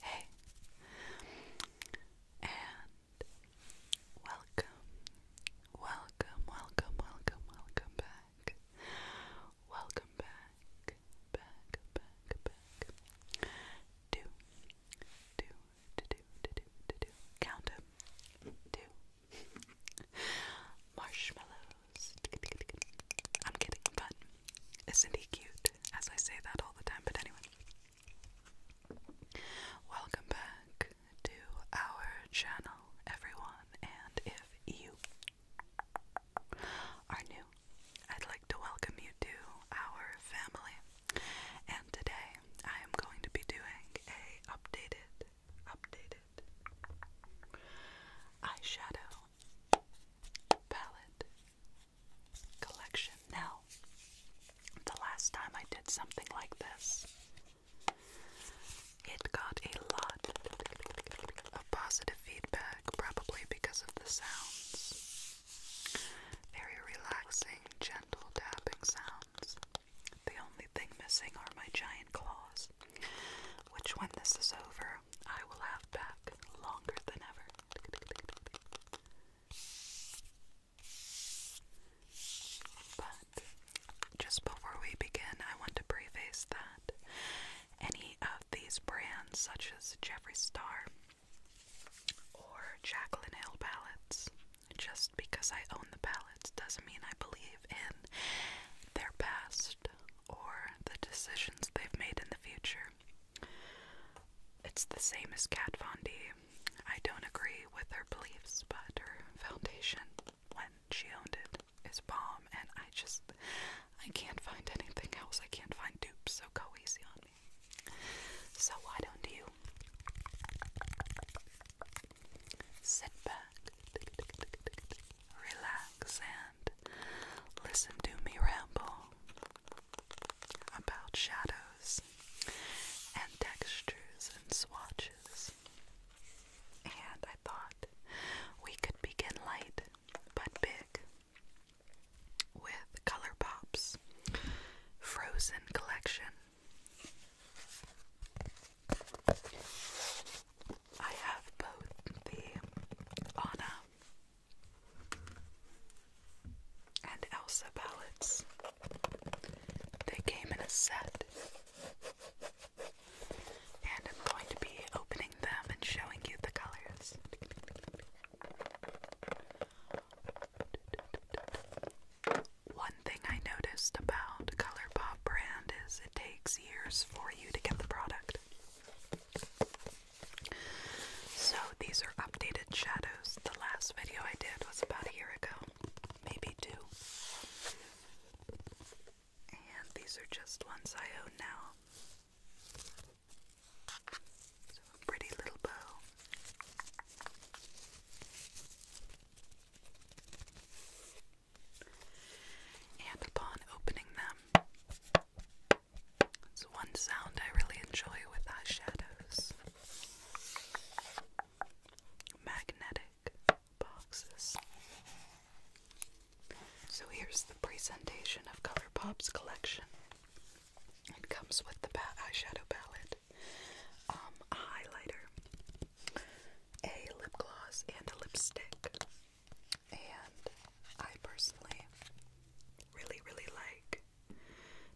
Hey, and welcome, welcome, welcome, welcome, welcome back. Welcome back, back, back, back. Do, do, do, do, do, do, do. Count Marshmallows. I'm kidding, but isn't he cute? As I say that all the time, but anyway. Welcome back to our channel, everyone, and if you are new, I'd like to welcome you to our family. And today I am going to be doing a updated updated eyeshadow palette collection. Now, the last time I did something like this, it got a lot of positive feedback, probably because of the sounds. Very relaxing, gentle tapping sounds. The only thing missing are my giant claws, which, when this is over, I will have back longer than ever. But just before we begin, I want to preface that any of these brands, such as Jeffree Star or Jacqueline Hill palettes, just because I own the palettes doesn't mean I believe in their past or the decisions they've made in the future. It's the same as Kat Von D. I don't agree with her beliefs, but her foundation when she owned it is bomb, and I just I can't find anything else. I can't find dupes, so go easy on me. So why don't you? Sit back, relax, and listen to me ramble about shadows and textures and swatches. And I thought we could begin light but big with Color Pops Frozen Collection I have both the Anna and Elsa palettes. They came in a set. And I'm going to be opening them and showing you the colors. One thing I noticed about ColourPop brand is it takes years for you to get the product. So these are updated shadows. The last video I did was about a year ago, maybe two. And these are just ones I own now. So pretty little bow. And upon opening them, it's one sound I really enjoy with eyeshadows magnetic boxes. So here's the presentation of Pop's collection. It comes with the eyeshadow palette. Um, a highlighter, a lip gloss, and a lipstick. And I personally really, really like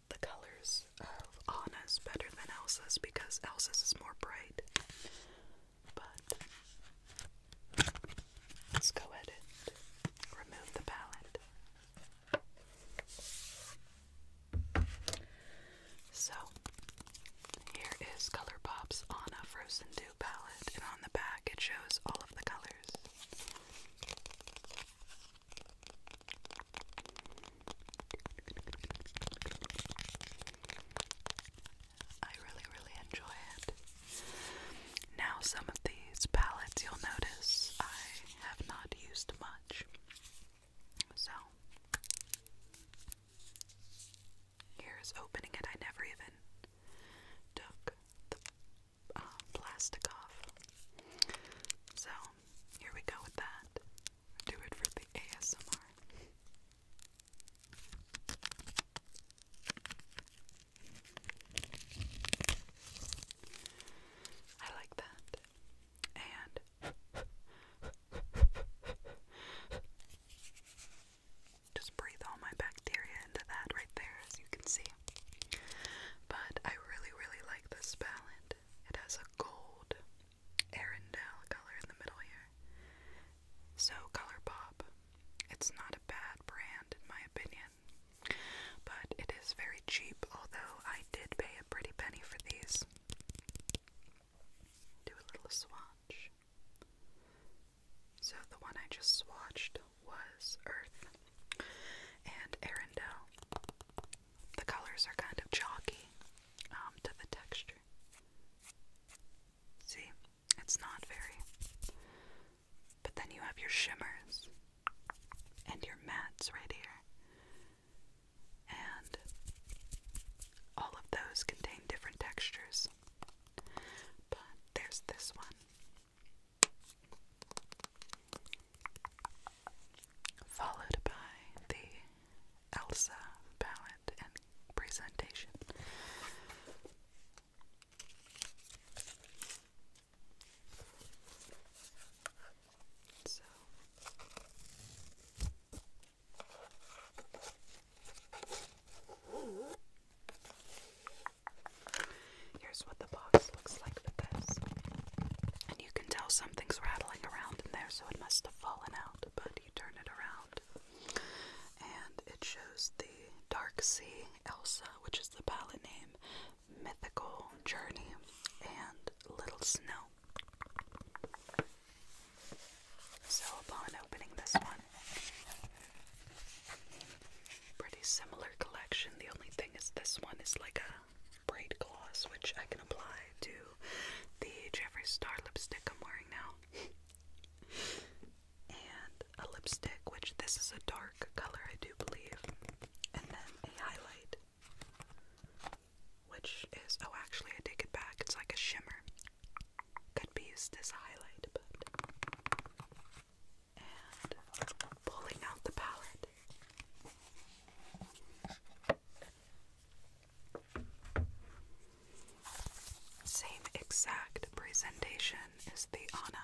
the colors of Anna's better than Elsa's because Elsa's is more bright. But let's go ahead and remove the palette. So, here is Colourpop's on a Frozen Dew palette, and on the back it shows all of the colors. I really, really enjoy it. Now, some of these palettes you'll notice I have not used much. So here's opening it. I never even took the uh, plastic off. So here we go with that. Do it for the ASMR. I like that and just breathe all my bacteria into that right there, as you can see. But I really, really like this palette. It has a gold Arendelle color in the middle here. So, ColourPop, it's not a bad brand in my opinion, but it is very cheap, although I did pay a pretty penny for these do a little swatch. So the one I just swatched was Earth and Arendelle. The colors are kind of chalky um, to the texture. See, it's not very. But then you have your shimmers and your mattes right here and all of those contain different textures. But there's this one, followed by the Elsa palette and presentation here's what the box looks like And you can tell something's rattling around in there, so it must have fallen out, but you turn it around. And it shows the Dark Sea Elsa, which is the palette name, Mythical Journey, and Little Snow. So, upon opening this one, pretty similar collection. The only thing is, this one is like a braid gloss, which I can apply to the Jeffrey Star lipstick I'm wearing now. and a lipstick, which this is a dark color, I do believe, and then a highlight. Which is, oh, actually, I take it back. It's like a shimmer. Could be used as a highlight, And pulling out the palette. Same exact presentation as the Anna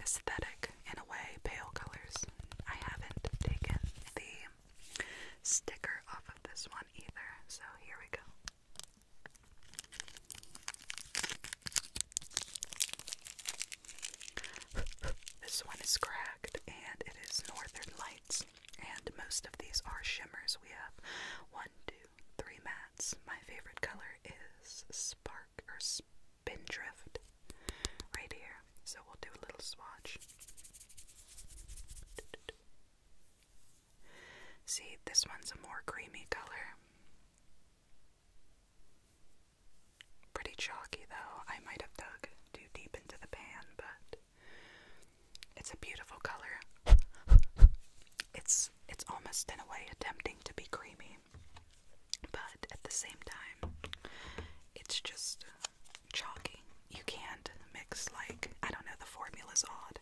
aesthetic in a way, pale colors. I haven't taken the sticker off of this one either, so here we go. This one is cracked and it is Northern Lights, and most of these are shimmers. We have one, two, three mats. My favorite color is Spark or spin drift, right here. So we'll do a little swatch. See, this one's a more creamy color. Pretty chalky though. I might have dug too deep into the pan, but it's a beautiful color. It's it's almost in a way attempting to be creamy. But at the same time, it's just uh, chalky. You can't mix, like, I don't know, the formula's odd.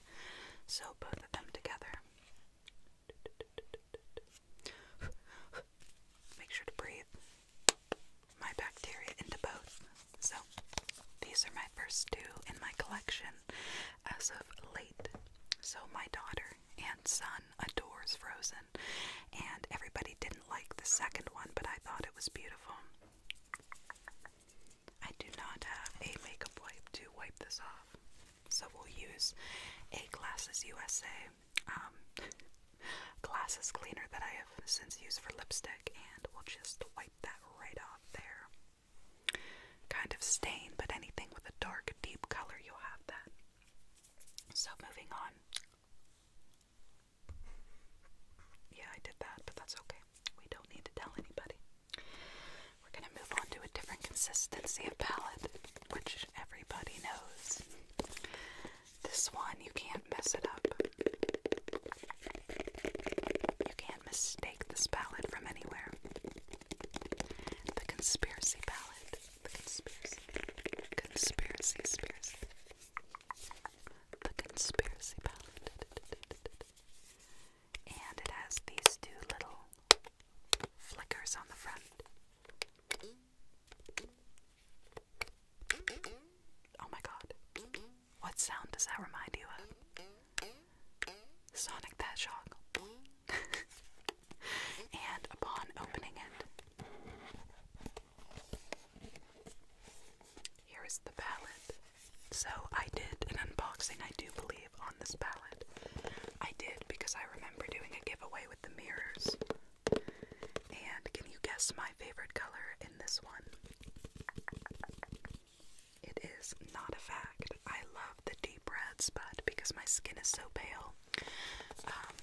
So both of them together. Make sure to breathe my bacteria into both. So these are my first two in my collection as of late. So my daughter and son adores Frozen, and everybody didn't like the second one, but I thought it was beautiful. I do not have a makeup wipe to wipe this off, so we'll use a Glasses USA um, glasses cleaner that I have since used for lipstick, and we'll just wipe that right off there kind of stain, but anything with a dark, deep color, you'll have that. So, moving on. Yeah, I did that, but that's okay. We don't need to tell anybody. We're going to move on to a different consistency of palette, which everybody knows. This one, you can't mess it up. You can't mistake this palette from anywhere. The conspiracy palette. The conspiracy. Conspiracy, conspiracy. The conspiracy palette. And it has these two little flickers on the front. Oh my god. What sound does that remind you of? Sonic the Hedgehog. and upon opening it, here is the palette. So I did an unboxing, I do believe, on this palette. I did because I remember doing a giveaway with the mirrors. And can you guess my favorite color in this one? It is not a fact. I love the deep reds, but because my skin is so pale, um,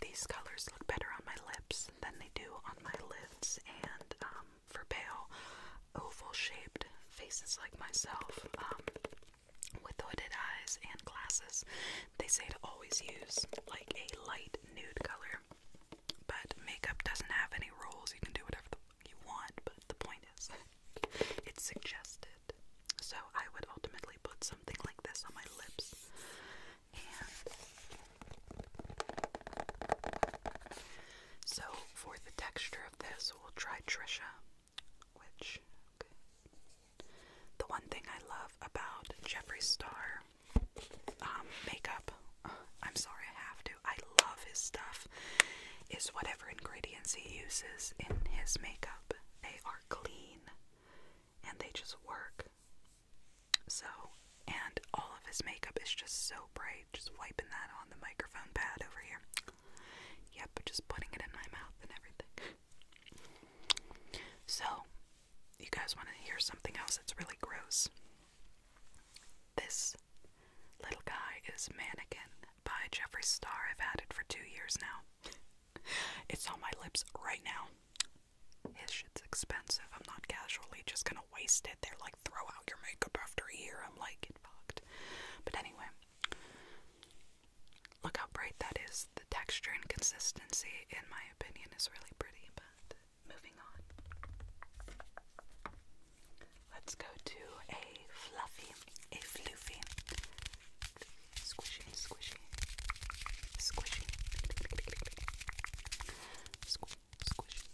these colors look better on my lips than they do on my lids. And um, for pale, oval shaped faces like myself, um, with hooded eyes and glasses, they say to always use like a light nude color. But makeup doesn't have any rules, you can do whatever the you want, but the point is it's suggested. So I would ultimately put something like this on my lips. And so for the texture of this, we'll try Trisha, which the one thing I love about Jeffree Star um, makeup. I'm sorry, I have to. I love his stuff is whatever ingredients he uses in his makeup. They are clean and they just work. So, and all of his makeup is just so bright. Just wiping that on the microphone pad over here. Yep, just putting it in my mouth and everything. So, you guys want to hear something else that's really gross? This little guy is Mannequin by Jeffree Star. I've had it for two years now. it's on my lips right now. His shit's expensive. I'm not casually just gonna waste it. They're like, throw out your makeup after a year. I'm like, get fucked. But anyway, look how bright that is. The texture and consistency, in my opinion, is really pretty. But moving on. Let's go to a fluffy, a floofy, squishy, squishy, squishy, Squ squishy.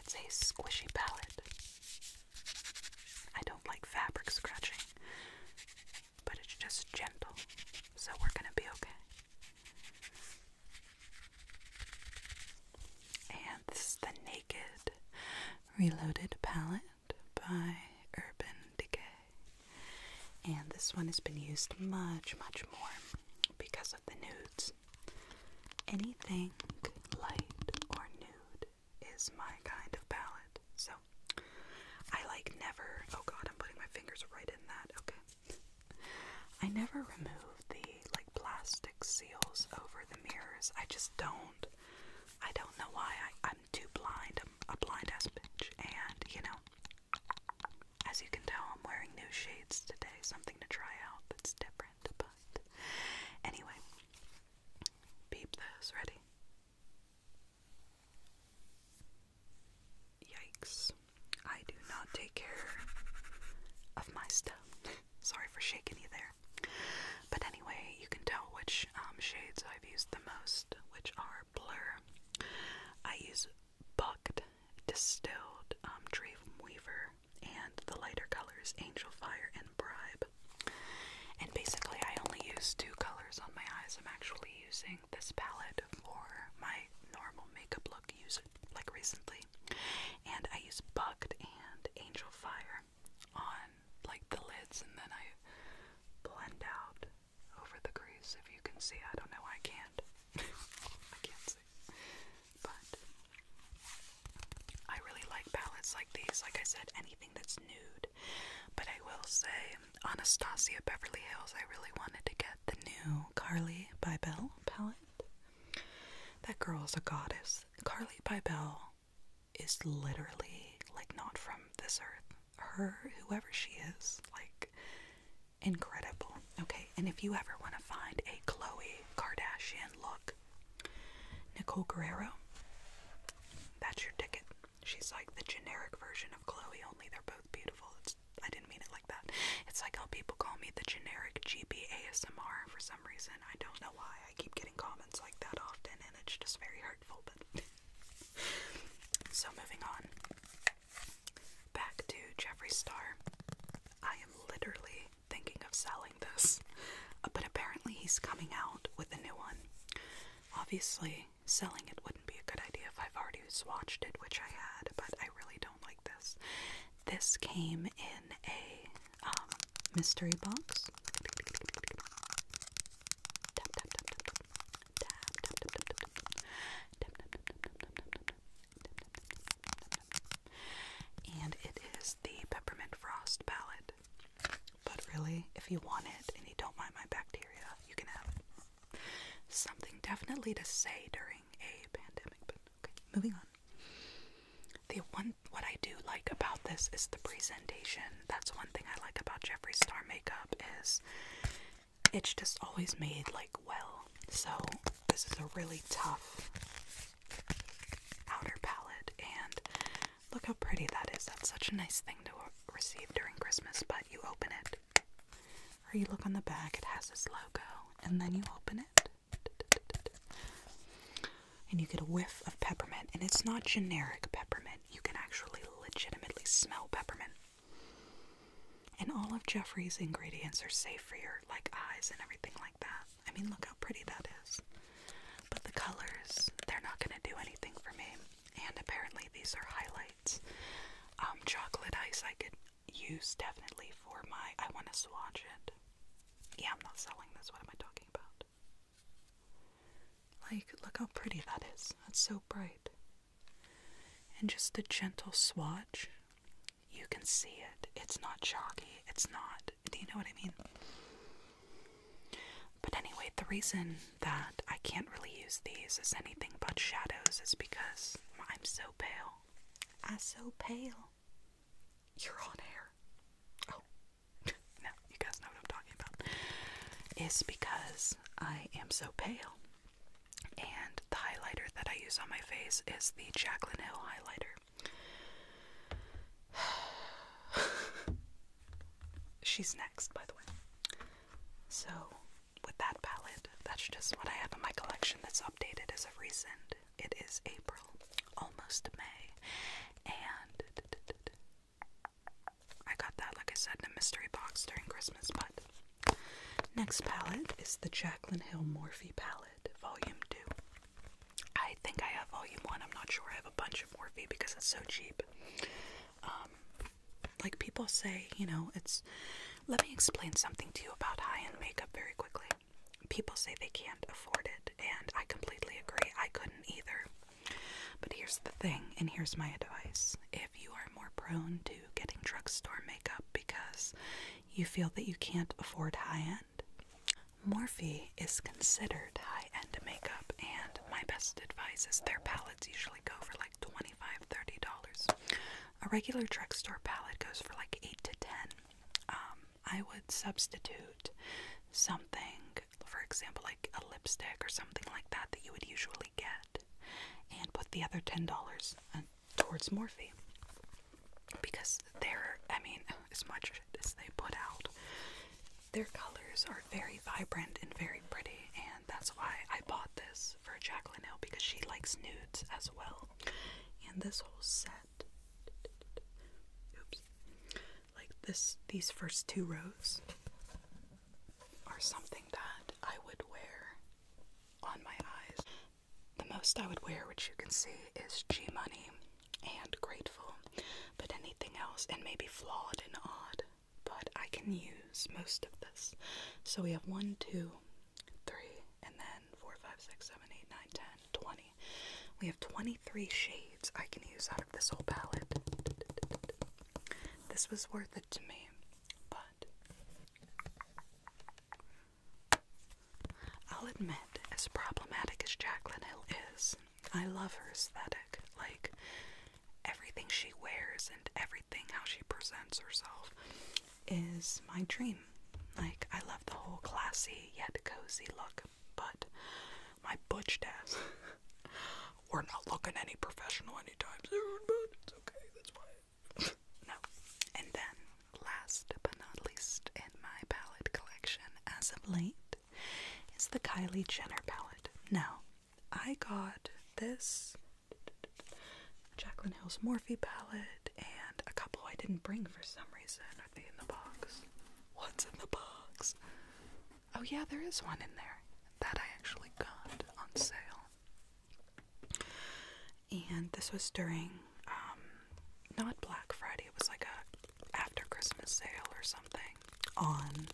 It's a squishy palette. I don't like fabric scratching, but it's just gentle, so we're gonna be okay. And this the Naked Reloaded Palette by Urban Decay. And this one has been used much, much more because of the nudes. Anything light or nude is my kind of palette. So I like never. Oh god, I'm putting my fingers right in that. Okay. I never remove the like plastic seals over the mirrors. I just don't. I don't know why. I, am too blind. I'm a blind ass bitch. And, you know, as you can tell, I'm wearing new shades today. Something to try out that's different. But anyway, beep this. Ready? Yikes. I do not take care of my stuff. Sorry for shaking you there. But anyway, you can tell which um, shades I've used the most, which are Blur. I use Bucked, Distilled, um, Weaver, and the lighter colors Angel Fire and Bribe. And basically, I only use two colors on my eyes. I'm actually using this palette for my normal makeup look use like recently. And I use Bucked and Angel Fire on like the lids and then I blend out over the crease if you can see. I don't know, I can't. I can't see. But I really like palettes like these. Like I said, anything that's nude. But I will say, Anastasia Beverly Hills, I really wanted to get the new Carly by Belle palette. That girl is a goddess. Carly Bybel is literally like not from this earth. Her, whoever she is, like incredible. Okay, and if you ever want to find a Chloe Kardashian look, Nicole Guerrero, that's your ticket. She's like the generic version of Chloe, only they're both beautiful. I didn't mean it like that. It's like how people call me the generic GB ASMR for some reason. I don't know why. I keep getting comments like that often, and it's just very hurtful. But so moving on. Back to Jeffree Star. I am literally thinking of selling this, uh, but apparently he's coming out with a new one. Obviously, selling it wouldn't be a good idea if I've already swatched it, which I had, but I really don't like this. This came in a um, mystery box. And it is the Peppermint Frost palette. But really, if you want it and you don't mind my bacteria, you can have it. Something definitely to say during a pandemic, but okay, moving on. The one what I do like about this is the presentation. That's one thing I like about Jeffree Star makeup is it's just always made like well. So this is a really tough outer palette and look how pretty that is. That's such a nice thing to receive during Christmas, but you open it or you look on the back, it has this logo, and then you open it, and you get a whiff of peppermint. And it's not generic peppermint, you can actually legitimately smell peppermint. And all of Jeffrey's ingredients are safe for your like eyes and everything like that. I mean, look how pretty that is. But the colors, they're not going to do anything for me. And apparently, these are highlights. Um, chocolate ice, I could use definitely for my. I want to swatch it. Yeah, I'm not selling this. What am I talking about? Like, look how pretty that is. That's so bright. And just the gentle swatch, you can see it. It's not chalky. It's not. Do you know what I mean? But anyway, the reason that I can't really use these as anything but shadows is because I'm so pale. I'm so pale. You're on air. Oh. no, you guys know what I'm talking about. It's because I am so pale. And the highlighter that I use on my face is the Jacqueline Hill highlighter. She's next, by the way. So, with that palette. That's just what I have in my collection that's updated as of recent. It is April, almost May, and I got that, like I said, in a mystery box during Christmas. But next palette is the Jacqueline Hill Morphe palette, Volume 2. I think I have Volume 1, I'm not sure. I have a bunch of Morphe because it's so cheap. Um, like people say, you know, it's let me explain something to you about high end makeup very quickly. People say they can't afford it, and I completely agree. I couldn't either. But here's the thing, and here's my advice if you are more prone to getting drugstore makeup because you feel that you can't afford high end, Morphe is considered high end makeup, and my best advice is their palettes usually go for like 25 $30. A regular drugstore palette goes for like 8 to 10. Um, I would substitute something, for example, like a lipstick or something like that that you would usually get, and put the other $10 uh, towards Morphe. Because they're, I mean, as much as they put out, their colors are very vibrant and very pretty, and that's why I bought this for Jacqueline Hill because she likes nudes as well. And this whole set, oops, like this, these first two rows are something that I would wear on my eyes. The most I would wear, which you can see, is G Money and Grateful, but anything else, and maybe Flawed and Odd, but I can use most of this. So we have one, two, three, and then four, five, six, seven, eight, nine, ten, twenty. We have 23 shades I can use out of this whole palette. This was worth it to me, but I'll admit, as problematic as Jacqueline Hill is, I love her aesthetic. Like, everything she wears and everything how she presents herself is my dream. Like, I love the whole classy yet cozy look, but my butch ass. We're not looking any professional anytime soon, but it's okay, that's fine. no. And then, last but not least in my palette collection as of late is the Kylie Jenner palette. Now, I got this Jaclyn Hill's Morphe palette and a couple I didn't bring for some reason. Are in the box? What's in the box? Oh, yeah, there is one in there that I actually got on sale. And this was during, um, not Black Friday, it was like a after Christmas sale or something on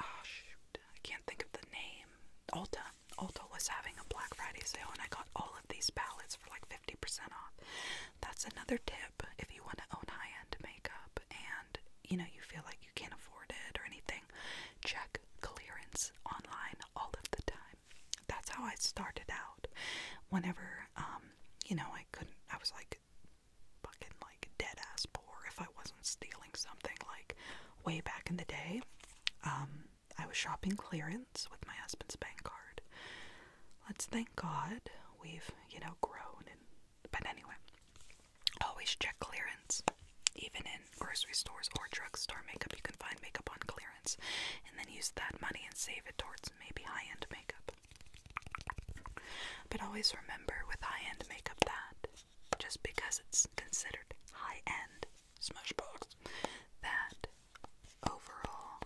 oh shoot, I can't think of the name. Ulta. Ulta was having a Black Friday sale and I got all of these palettes for like 50% off. That's another tip if you want to own high-end makeup and you know you feel like you can't afford it or anything. Check clearance online all of the time. That's how I started out. Whenever um, you know, I couldn't I was like fucking like dead ass poor if I wasn't stealing something like way back in the day. Um, I was shopping clearance with my husband's bank card. Let's thank God we've, you know, grown and but anyway. Always check clearance. Even in grocery stores or drugstore makeup, you can find makeup on clearance and then use that money and save it towards maybe high end makeup. But always remember with high end makeup that just because it's considered high end Smashbox, that overall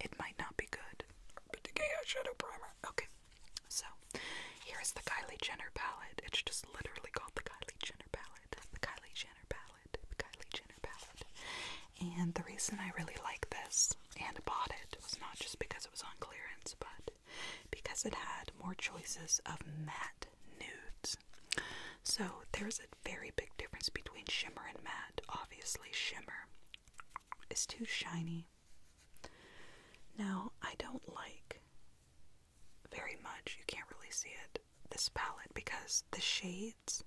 it might not be good. But the Gaya Shadow Primer. Okay, so here's the Kylie Jenner palette. It's just literally called the Kylie Jenner palette. The Kylie Jenner palette. The Kylie Jenner palette. And the reason I really like this and bought it was not just because it was on clearance, but because it had more choices of matte nudes. So there's a very big difference between shimmer and matte. Obviously, shimmer is too shiny. Now, I don't like very much, you can't really see it, this palette because the shades,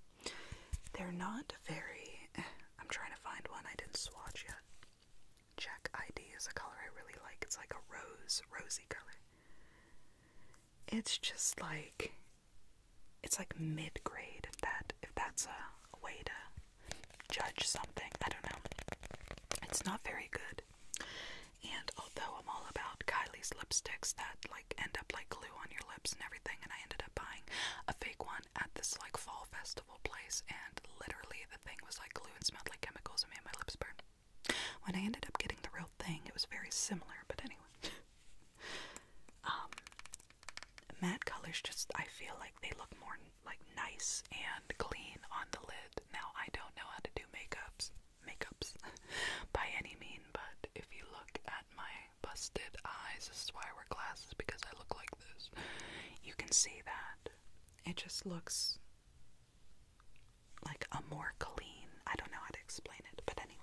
they're not very. Eh, I'm trying to find one I didn't swatch yet. Check ID is a color I really like. It's like a rose, rosy color. It's just like it's like mid grade if that if that's a, way to judge something. I don't know. It's not very good. And although I'm all about Kylie's lipsticks that like end up like glue on your lips and everything, and I ended up buying a fake one at this like fall festival place, and literally the thing was like glue and smelled like chemicals and made my lips burn. When I ended up getting the real thing, it was very similar, but anyway. um, matte colors just, I feel like they look more like nice and clean on the lid. Now, I don't know how to do makeups, makeups by any means. but if you look at my busted eyes, this is why I wear glasses because I look like this. You can see that. It just looks like a more clean. I don't know how to explain it, but anyway.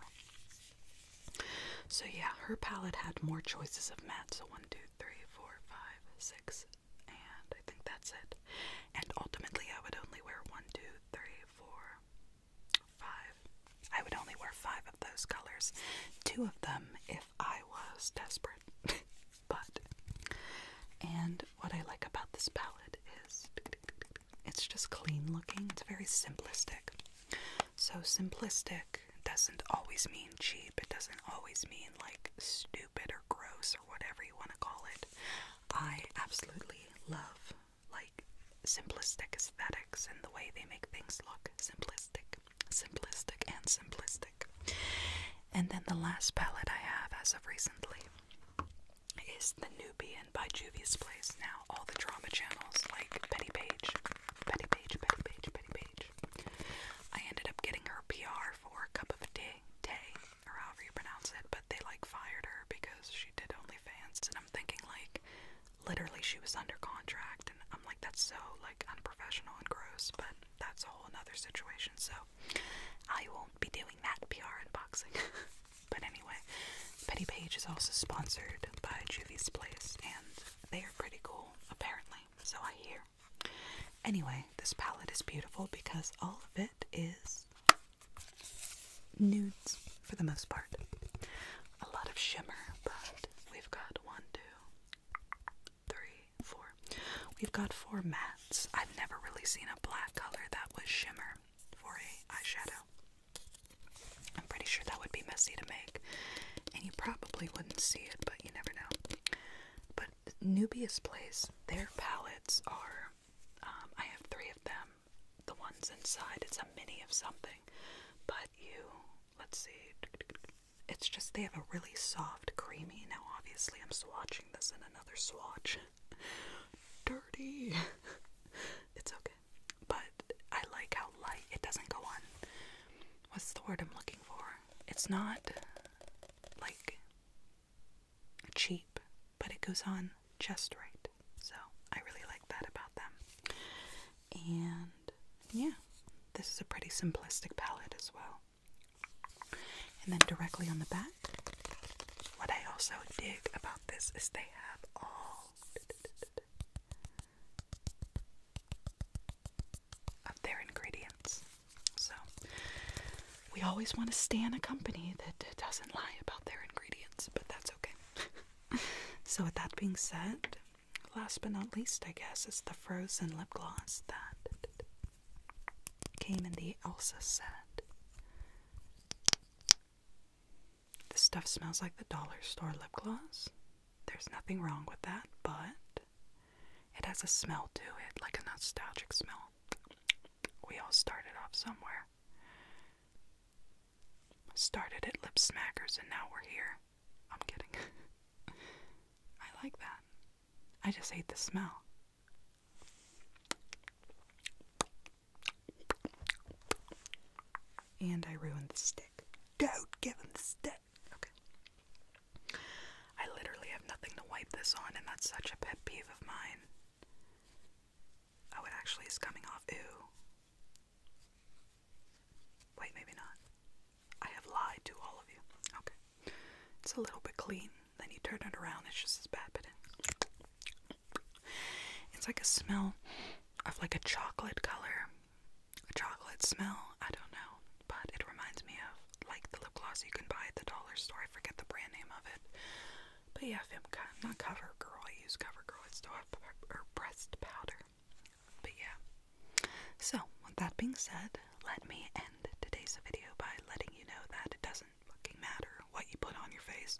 So yeah, her palette had more choices of mattes. So one, two, three, four, five, six, and I think that's it. And ultimately, I would only wear one, two, three, four, five. I would only wear five of those colors. Two of them if I was desperate. butt. And what I like about this palette is it's just clean looking, it's very simplistic. So, simplistic doesn't always mean cheap, it doesn't always mean like stupid or gross or whatever you want to call it. I absolutely love like simplistic aesthetics and the way they make things look simplistic, simplistic, and simplistic. And then the last palette I have as of recently is The Nubian by Juvia's Place. Now, all the drama channels like Penny Page, Penny Page, Penny Page, Penny Page. I ended up getting her PR for a cup of tea, day, or however you pronounce it, but they like fired her because she did OnlyFans. And I'm thinking, like, literally, she was under contract, and I'm like, that's so like unprofessional and gross, but that's a whole another situation. So, I won't be doing that PR unboxing. but anyway, Petty Page is also sponsored by Juvie's Place, and they are pretty cool, apparently. So I hear. Anyway, this palette is beautiful because all of it is nudes for the most part. A lot of shimmer, but we've got one, two, three, four. We've got four mats. I've never really seen a black color that was shimmer for a eyeshadow. I'm pretty sure that would be messy to make, and you probably wouldn't see it, but you never know. But Nubius Place, their palettes are. Um, I have three of them. The ones inside, it's a mini of something, but you. Let's see. It's just they have a really soft, creamy. Now, obviously, I'm swatching this another swatch. Dirty. it's okay. But I like how light it doesn't go on. What's the word I'm looking for? It's not like cheap, but it goes on just right. So I really like that about them. And yeah, this is a pretty simplistic palette as well. And then directly on the back, what I also dig about this is they have all of their ingredients. So we always want to stand a company that doesn't lie about their ingredients, but that's okay. so with that being said, last but not least, I guess, is the frozen lip gloss that came in the Elsa set. This stuff smells like the dollar store lip gloss. There's nothing wrong with that, but it has a smell to it, like a nostalgic smell. We all started off somewhere. Started at Lip Smackers and now we're here. I'm kidding. I like that. I just hate the smell. And I ruined the stick. Don't give him the stick. Okay. I literally have nothing to wipe this on, and that's such a pet peeve of mine. Oh, it actually is coming off. Ooh. Wait, maybe not. I have lied to all of you. Okay. It's a little bit clean. Then you turn it around, it's just as bad, but it's like a smell of like a chocolate color, a chocolate smell. I don't know, but it reminds me of like the lip gloss you can buy at the dollar store. I forget the brand name of it, but yeah, not CoverGirl. I use CoverGirl. It's still her breast powder, but yeah. So with that being said, let me end today's video by letting you know that it doesn't fucking matter what you put on your face.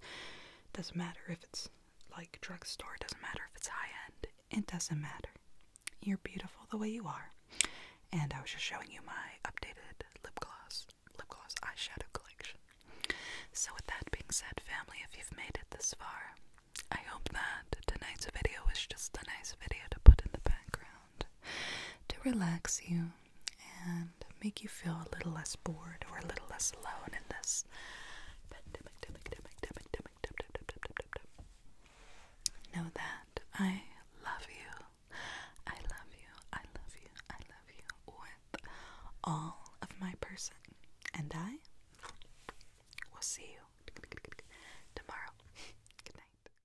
It doesn't matter if it's like drugstore, it doesn't matter if it's high end. It doesn't matter. You're beautiful the way you are. And I was just showing you my updated lip gloss, lip gloss eyeshadow collection. So with that being said, family, if you've made it this far, I hope that tonight's video was just a nice video to put in the background to relax you and make you feel a little less bored or a little less alone in this pandemic. Know that I love you. I love you. I love you. I love you with all of my person. And I will see you tomorrow. Good night.